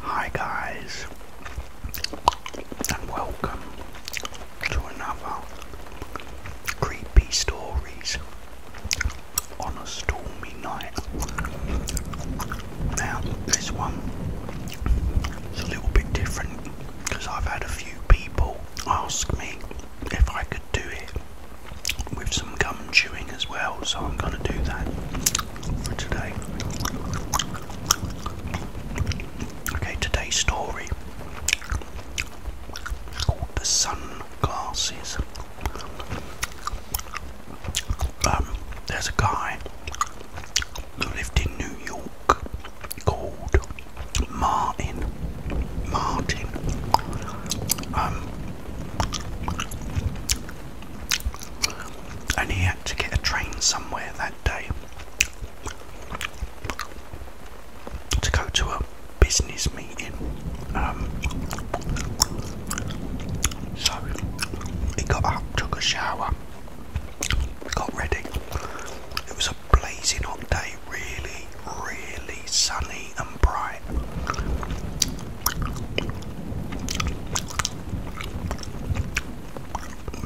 Hi guys and welcome to another creepy stories on a stormy night. Now this one is a little bit different because I've had a few people ask me if I could do it with some gum chewing as well, so I'm gonna do that today. Okay, today's story The Sunglasses. Um, there's a guy who lived in New York called Martin. Martin. Um, and he had to get a train somewhere that day to go to a business meeting. Um, so he got up, took a shower, got ready. It was a blazing hot day, really, really sunny and bright.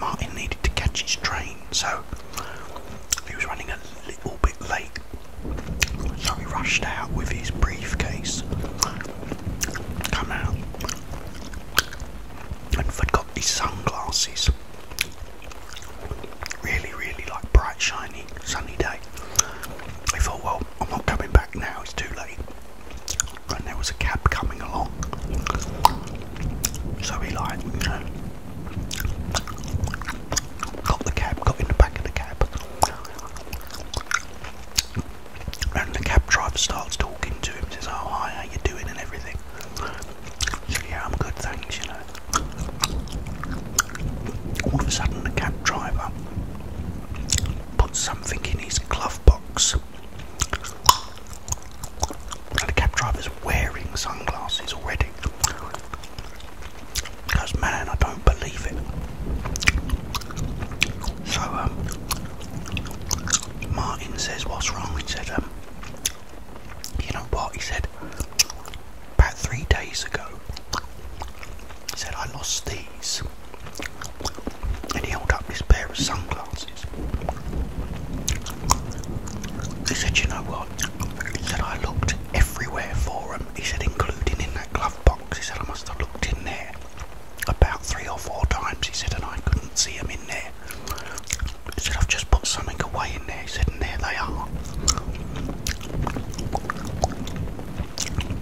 Martin needed to catch his train, so he was running a little bit late. So he rushed out with his briefcase, come out, and forgot his sunglasses. Really, really like bright, shiny, sunny day. I thought, well, I'm not coming back now, it's too late and there was a cab coming along. So he like, you know, got the cab, got in the back of the cab, and the cab driver starts talking to him, says, "Oh hi, how you doing?" and everything. So yeah, I'm good, thanks. You know. All of a sudden, the cab driver put something in his glove box. the cab driver's wearing sunglasses already. Because, man, I don't believe it. So, um, Martin says, What's wrong? He said, um, You know what? He said, About three days ago, he said, I lost these. And he held up this pair of sunglasses. He said, You know what? He said, I looked everywhere for them. He said, including in that glove box. He said, I must have looked in there about three or four times. He said, and I couldn't see them in there. He said, I've just put something away in there. He said, and there they are.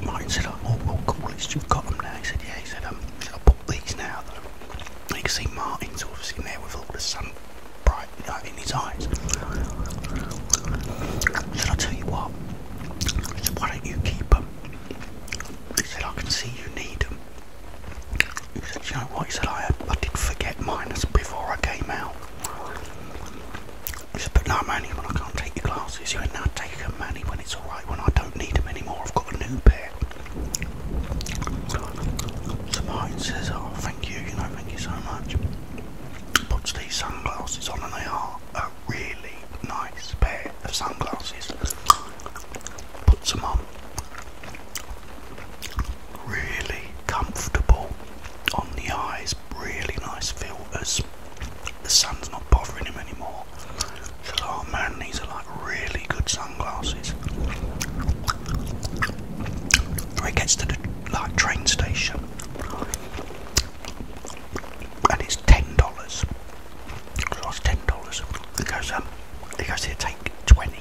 Martin said, oh, oh cool, you've got them now. He said, yeah, he said, um, i put these now. you can see Martin's sort of sitting there with all the sun bright like, in his eyes. Should i tell you what, he said, why don't you keep them? He said, I can see you need them. He said, you know what? He said, I, I did forget mine before I came out. He said, but I'm only when I can't take your glasses. You went, now take them, Manny, when it's alright, when I don't need them anymore. I've got a new pair. So Martin says, oh, thank you, you know, thank you so much. Puts these sunglasses on and they are a really nice pair of sunglasses. Puts them on. Really comfortable on the eyes, really nice as The sun's not bothering him anymore. oh man, these are like really good sunglasses. So he gets to the like train station and it's ten dollars. He it's ten dollars. He goes, um, he goes here, take twenty.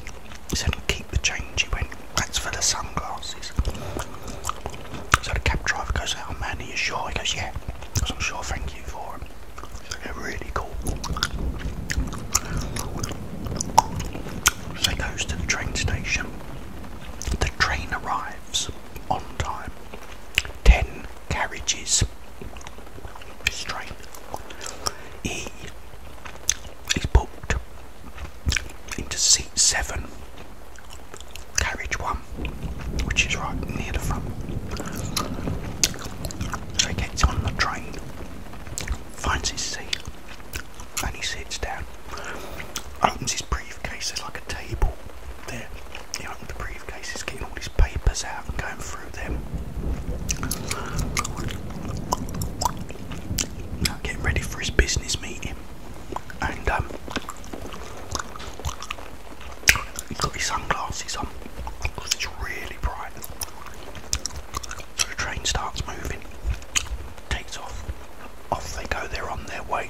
He said, keep the change. He went, that's for the sunglasses. So the cab driver goes, oh man, are you sure? He goes, yeah. Because I'm sure, thank you for it. So they're really cool. So he goes to the train station. The train arrives on time. Ten carriages. train. He is booked into seat seven carriage one, which is right near the front. So he gets on the train, finds his seat, and he sits down. Opens his briefcase, there's like a table there. He opens the briefcase, is getting all his papers out and going through them. getting ready for his business meeting and um, he's got his sunglasses on because it's really bright. So the train starts moving, takes off, off they go, they're on their way.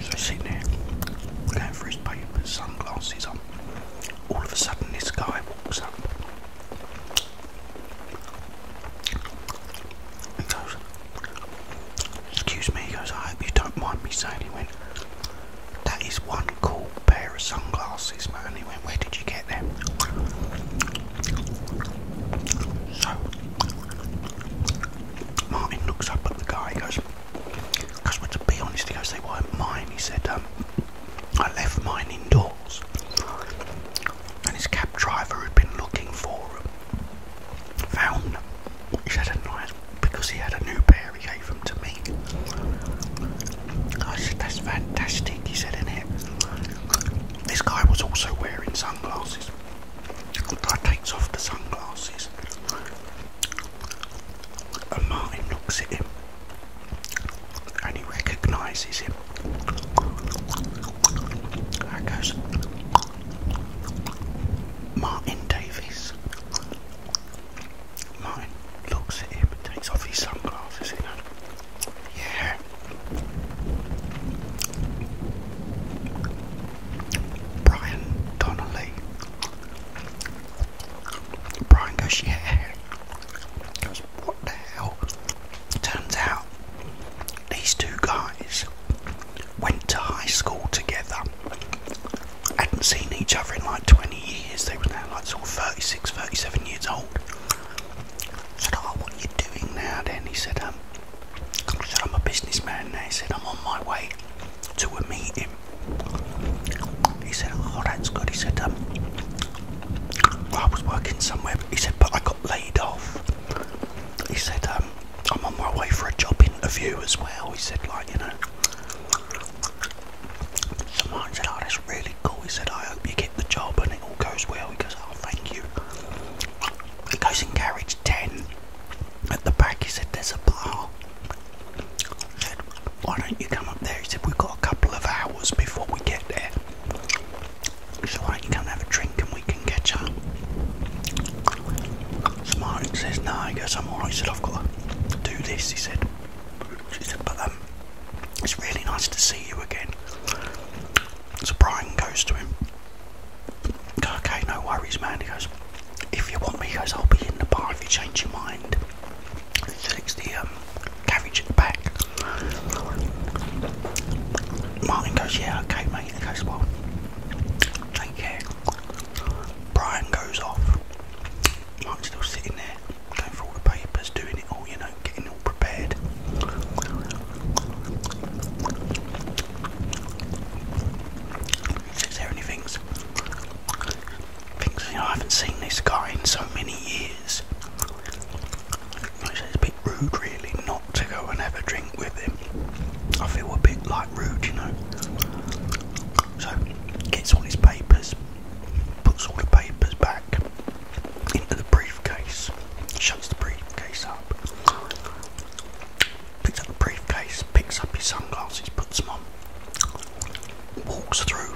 So sitting there, going for his papers, sunglasses on. All of a sudden, this guy walks up excuse me, he goes, I hope you don't mind me saying, he went, that is one cool pair of sunglasses, man. And he went, where did you get them? So, Martin looks up at the guy, he goes, because well, to be honest, he goes, they weren't mine. He said, um, I left mine indoors and his cab driver had been looking for him, found them, which had a nice because he had a new pair he gave them to me. I said that's fantastic, he said in it. This guy was also wearing sunglasses. I takes off the sunglasses and Martin looks at him and recognises him there goes Martin Davies. Martin looks at him takes off his sunglasses, Yeah. Brian Donnelly. Brian goes, what the hell? Turns out these two guys went to high school together. Hadn't seen each other in like 20 years. They were now like sort of 36, 37 years old. said, oh, what are you doing now then? He said, um, I am a businessman now. He said, I'm on my way to a meeting. He said, oh, that's good. He said, um, I was working somewhere. He said, but I got." laid off. He said, um, I'm on my way for a job interview as well. He said, like, you know. Someone said, oh, that's really cool. He said, I hope you get the job and it all goes well. He goes, oh, thank you. He goes in carriage 10. At the back, he said, there's a bar. I said, why don't you come up there? He said, we've got a couple of hours before we get there. So why don't you come and have a drink and we can catch up? So says, no, he goes, I'm alright, he said, I've got to do this, he said. She said, but um, it's really nice to see you again. So Brian goes to him, okay, no worries, man, he goes, if you want me, he goes, I'll be in the bar if you change your mind. He said, the um, Martin goes, yeah, okay, mate. He goes, well, take care. Brian goes off. Mark's still sitting there, going through all the papers, doing it all, you know, getting all prepared. He there and he I haven't seen this guy in so many years. It's a bit rude, really, not to go and have a drink with him. I feel a bit like rude, you know. So, gets all his papers, puts all the papers back into the briefcase, shuts the briefcase up, picks up the briefcase, picks up his sunglasses, puts them on, walks through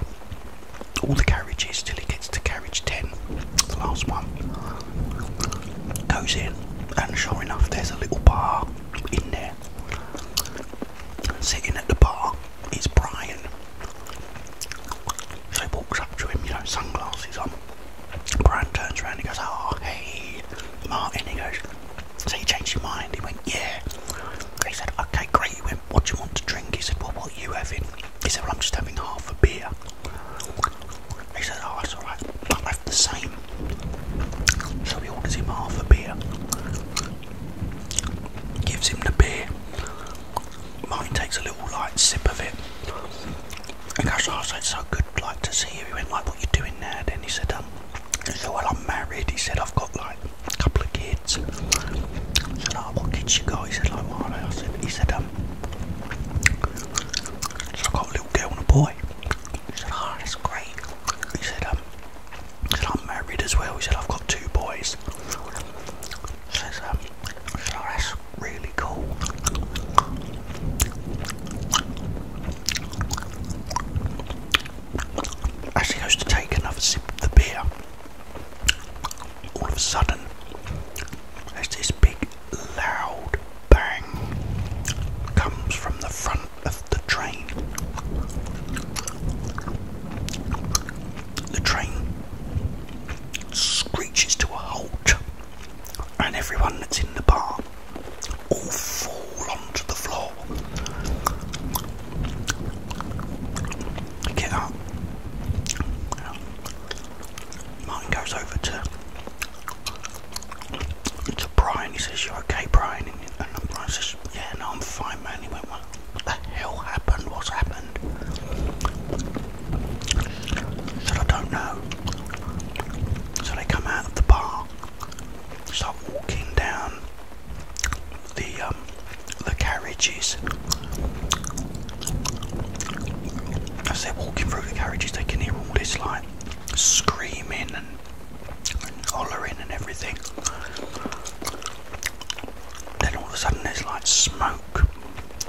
all the carriages till he gets to carriage 10, the last one goes in, and sure enough, there's a little bar in there. sitting at the bar is Brian. So he walks up to him, you know, sunglasses on. Brian turns around and goes, Oh, hey, Martin. He goes, So you changed your mind? He went, Yeah. He said, Okay, great. He went, What do you want to drink? He said, Well, what are you having? He said, I'm just having half a beer. He said, Oh, that's alright, I'll have the same. So he orders him half a beer, gives him the beer. Martin takes a little light sip of it and goes, Oh, so it's so good, like to see you. He went, Like, what you doing now? Then he said, Um, he said, Well, I'm married. He said, I've got like a couple of kids. I said, Oh, what kids you guys. He said, Like, what I said, He said, um, um, so I got a little girl and a boy. He said, oh, that's great. Um, he said, I'm married as well. He said, I've got two boys. says, um, oh, that's really cool. As he goes to take another sip of the beer, all of a sudden as this big loud bang comes from the front of the train. The train screeches to a halt and everyone that's in the bar all fall onto the floor. Get up. Martin goes over to to Brian. He says, "You are okay, Brian?" And, Brian says, "Yeah, no, I'm fine, man." He went, "What the hell happened? What's happened?" I said, "I don't know." So they come out of the bar, start walking down the um, the carriages as they're walking through the carriages, they can hear all this like screaming and, hollering and everything. Then all of a sudden, there's like smoke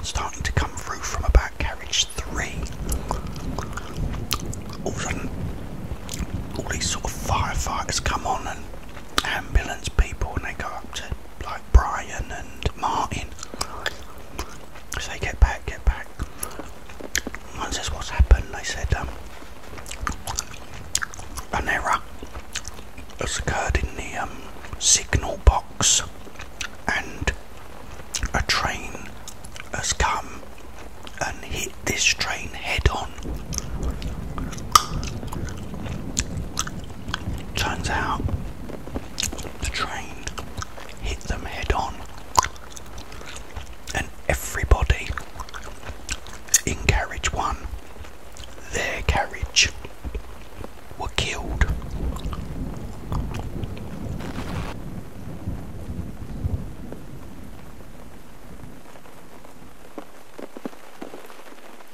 starting to come through from about carriage three. All of a sudden, all these sort of firefighters come on and ambulance people, and they go up to. Like Brian and Martin. they get back, get back. Once says, what's happened? They said, um, an error has occurred in the um, signal box and a train has come and hit this train head on. Turns out the train hit them head on, and everybody in carriage one, their carriage, were killed.